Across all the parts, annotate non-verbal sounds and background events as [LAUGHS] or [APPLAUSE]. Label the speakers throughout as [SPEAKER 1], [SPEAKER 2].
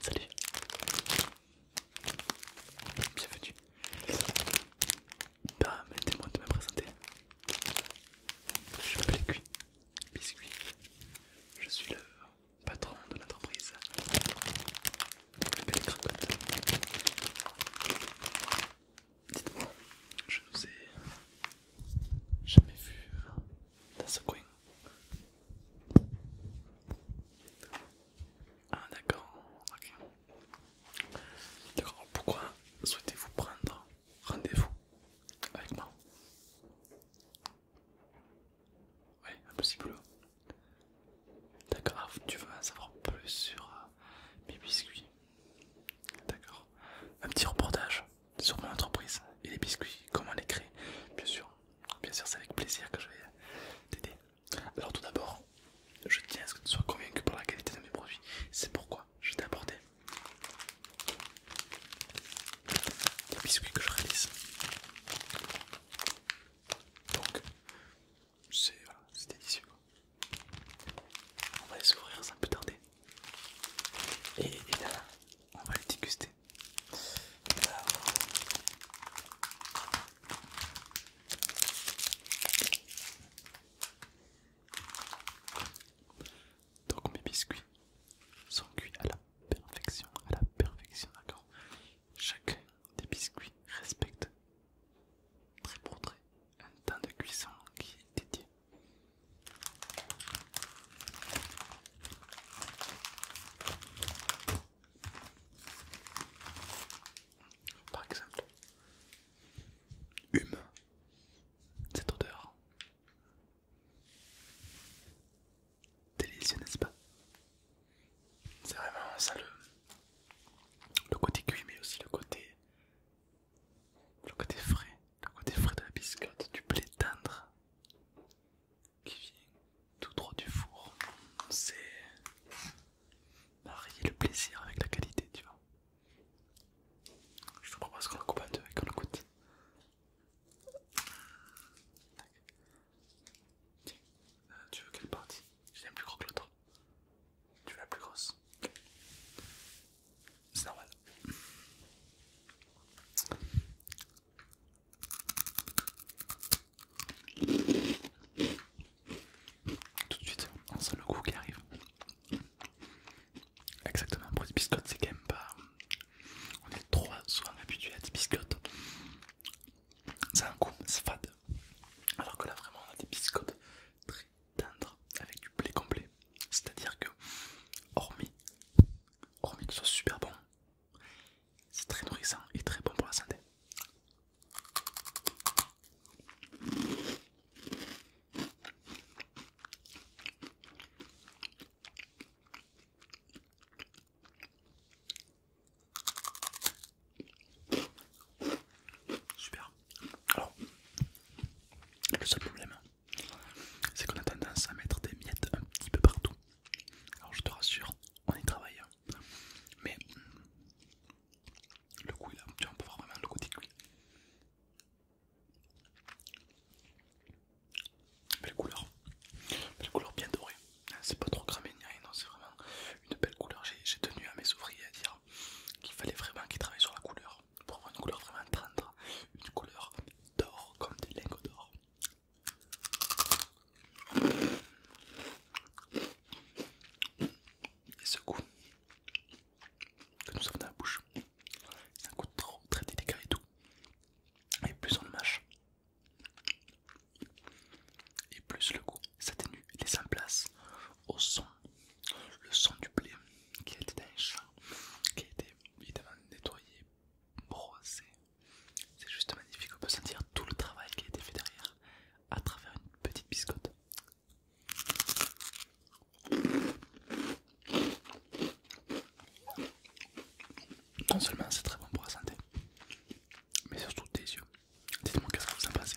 [SPEAKER 1] Salut. Bienvenue. Permettez-moi de me présenter. Je m'appelle Cuit Biscuit. Je suis le patron de l'entreprise. Dites-moi, je ne vous ai jamais vu dans ce coin. Ah d'accord, ok. D'accord, pourquoi souhaitez-vous prendre rendez-vous avec moi Oui, impossible. D'accord, ah, tu veux en savoir plus sur euh, mes biscuits D'accord. Un petit reportage sur mon entreprise et les biscuits, comment les créer. Bien sûr, bien sûr, c'est avec plaisir que je vais t'aider. Alors, tout d'abord, je tiens à ce que tu sois convaincu par la qualité de mes produits. C'est pourquoi je t'ai apporté les biscuits que je réalise. Donc, c'est voilà, délicieux. Quoi. On va les ouvrir sans plus tarder. Et voilà, on va les déguster. Donc mes biscuits sont cuits à la perfection, à la perfection, d'accord Chacun des biscuits respecte très pour très un temps de cuisson qui est dédié. Par exemple, hume cette odeur. Délicieux, n'est-ce pas? C'est vraiment ça le, le côté cuit, mais aussi le côté le côté frais, le côté frais de la biscotte, du blé tendre qui vient tout droit du four. C'est marier le plaisir avec la qualité, tu vois. Je te propose qu'on le coupe en deux et qu'on le coûte. Tiens, euh, tu veux quelle partie J'aime plus gros que l'autre. Tu veux la plus grosse c'est normal. Tout de suite, on sent le coup qui arrive. Exactement, pour des biscottes, c'est quand même pas. On est trop souvent habitué à des biscottes. C'est un coup, c'est fade. Alors que là, vraiment, on a des biscottes très tendre avec du blé complet. C'est-à-dire que, hormis, hormis que ce soit super bon, c'est très nourrissant et très bon pour la santé. Super. Alors, le seul problème, c'est qu'on a tendance à mettre des miettes un petit peu partout. Alors, je te rassure, on y travaille. Hein. Mais le goût là, tu vois, on peut voir vraiment le côté cuit. Belle couleur, belle couleur bien dorée. C'est pas trop cramé ni rien, c'est vraiment une belle couleur. J'ai tenu à mes ouvriers à dire qu'il fallait vraiment qu'il travaille sur la couleur pour avoir une couleur vraiment tendre, une couleur d'or comme des lingots d'or. Et ce goût que nous avons dans la bouche, c'est un goût trop très délicat et tout. Et plus on le mâche, et plus le goût s'atténue et laisse en place au son le son du blé qui était qui a été évidemment nettoyé, brossé C'est juste magnifique, on peut sentir tout le travail qui a été fait derrière à travers une petite biscotte. Non seulement c'est très bon pour la santé, mais surtout tes yeux. Dites-moi ce que vous en pensez.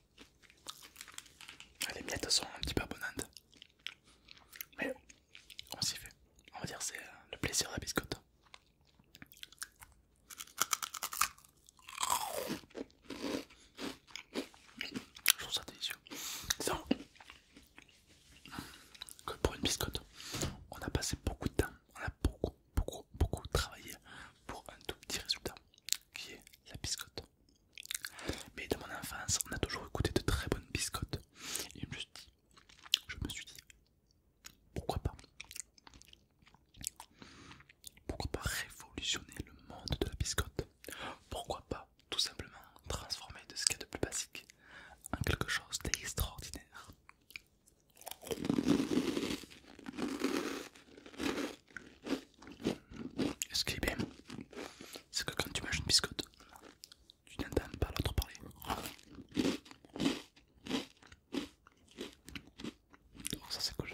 [SPEAKER 1] ah, les miettes sont un petit peu bonnes. Mais on s'y fait. On va dire c'est euh, le plaisir de la biscotte. Je trouve ça délicieux. Disons que pour une biscotte, on a passé beaucoup de temps, on a beaucoup, beaucoup, beaucoup travaillé pour un tout petit résultat qui est la biscotte. Mais de mon enfance, on a toujours écouté de très bonnes biscottes. Et je me suis dit, je me suis dit pourquoi pas Pourquoi pas révolutionner le monde de la biscotte Pourquoi pas tout simplement transformer de ce qu'il y a de plus basique en quelque chose d'extraordinaire ce qui est eh bien, c'est que quand tu manges une biscotte, tu n'entends pas l'autre parler. D'accord, ça c'est cool.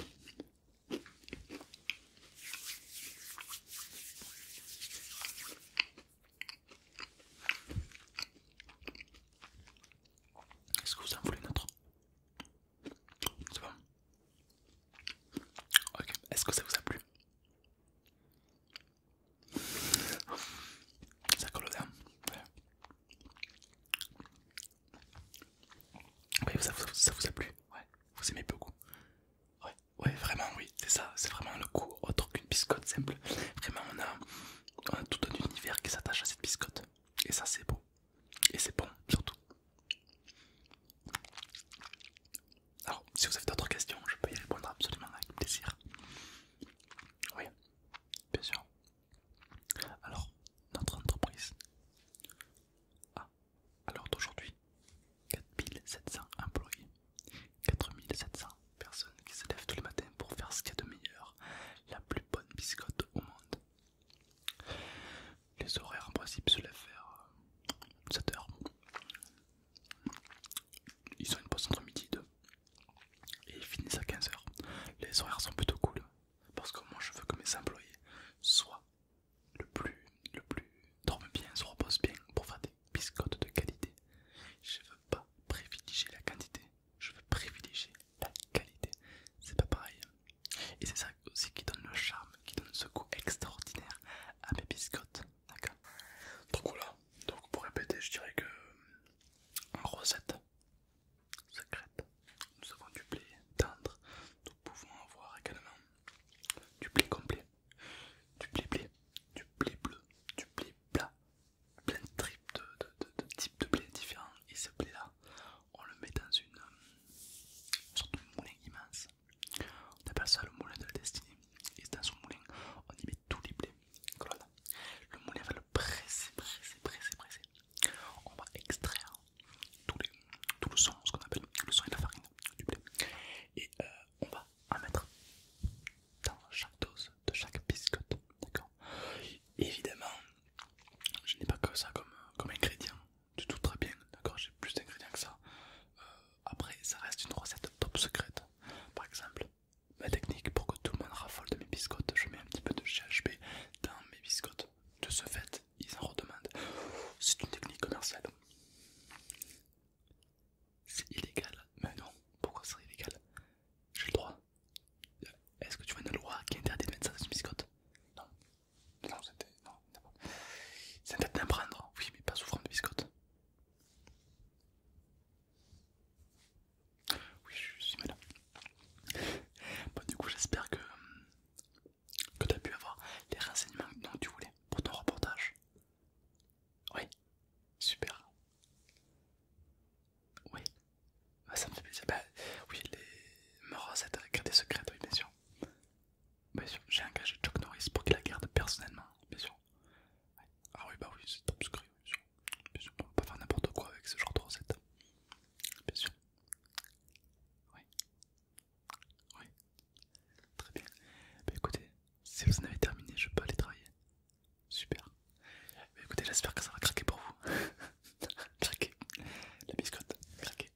[SPEAKER 1] Est-ce que vous en voulez une autre c'est bon Ok, est-ce que ça vous a plu Ça colle au ouais. Oui, ça, vous a plu Ouais, vous aimez beaucoup Ouais, ouais vraiment, oui, c'est ça, c'est vraiment le coup autre qu'une biscotte simple. Vraiment, on a tout un univers qui s'attache à cette biscotte. Et ça, c'est beau. Et c'est bon, surtout. Alors, si vous avez d'autres questions, je peux y répondre absolument avec plaisir. Oui, bien sûr. Alors, notre entreprise a alors d'aujourd'hui 4700 employés, 4700 personnes qui se lèvent tous les matins pour faire ce qu'il y a de meilleur, la plus bonne biscotte au monde, les horaires en principe se lèvent vers 7h. Euh, ils ont une pause entre midi et 2 et ils finissent à 15h. Les horaires sont plutôt cool parce que moi je veux que mes employés soient le plus, le plus, dorment bien, se reposent bien pour faire des biscottes de qualité. Je ne veux pas privilégier la quantité, je veux privilégier la qualité. C'est pas pareil. Et c'est ça aussi qui donne le charme, qui donne ce goût extraordinaire à mes biscottes. D'accord Donc voilà, donc pour répéter, je dirais que euh, en recette secrète, nous avons du blé tendre, nous pouvons avoir également du blé complet, du blé blé, du blé bleu, du blé plat, plein de tripes de types de blé différents. Et ce blé là, on le met dans une, euh, sorte de moulin immense. On appelle ça le moulin de la destinée. Et dans ce moulin, on y met tous les blés Le moulin va le presser, presser, presser, presser. On va extraire tout, les, tout le son, ce qu'on appelle le son et la farine du blé. Et euh, on va en mettre dans chaque dose de chaque biscotte. D'accord Évidemment, je n'ai pas que ça comme, euh, comme ingrédient du tout très bien, d'accord J'ai plus d'ingrédients que ça. Euh, après, ça reste une recette top secrète. Par exemple, ma technique pour que tout le monde raffole de mes biscottes, je mets un petit peu de GHB dans mes biscottes. De ce fait, ils en redemandent. C'est une technique commerciale. C'est illégal, mais non, pourquoi c'est illégal J'ai le droit. Est-ce que tu vois une loi qui interdit de mettre ça dans une biscotte Non. Non, c'était. Non, c'est interdit d'en oui, mais pas souffrant de biscotte. Oui, je suis malade. Bon, du coup, j'espère que, que tu as pu avoir les renseignements dont tu voulais pour ton reportage. Oui, super. Oui, ah, ça me fait plaisir. Bah, oui, les recettes gardent des secrètes, oui, bien sûr. Bien sûr, j'ai engagé Chuck Norris pour qu'il la garde personnellement, bien sûr. Ah oui, bah oui, c'est top secret, bien sûr. on peut pas faire n'importe quoi avec ce genre de recette. Bien sûr. Oui. Oui. Très bien. Bah écoutez, si vous en avez terminé, je peux aller travailler. Super. écoutez, j'espère que ça va craquer pour vous. [LAUGHS] craquer. La biscotte, craquer.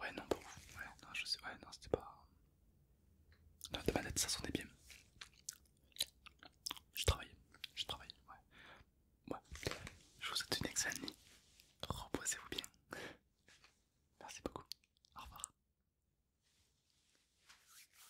[SPEAKER 1] Ouais, non, pour vous. Ouais, non, je sais. Ouais, non, c'était pas. Non, de tête ça sonnait bien. Je travaille, je travaille, ouais. ouais. Je vous souhaite une excellente nuit. Reposez-vous bien. Merci beaucoup. Au revoir.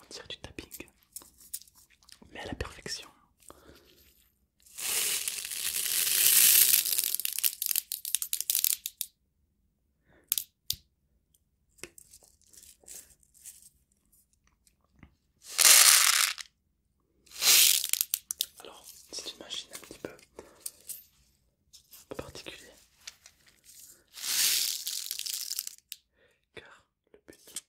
[SPEAKER 1] On tire du tapping, mais à la perfection. Alors, c'est une machine un petit peu, particulière. Car le but est créer des choses.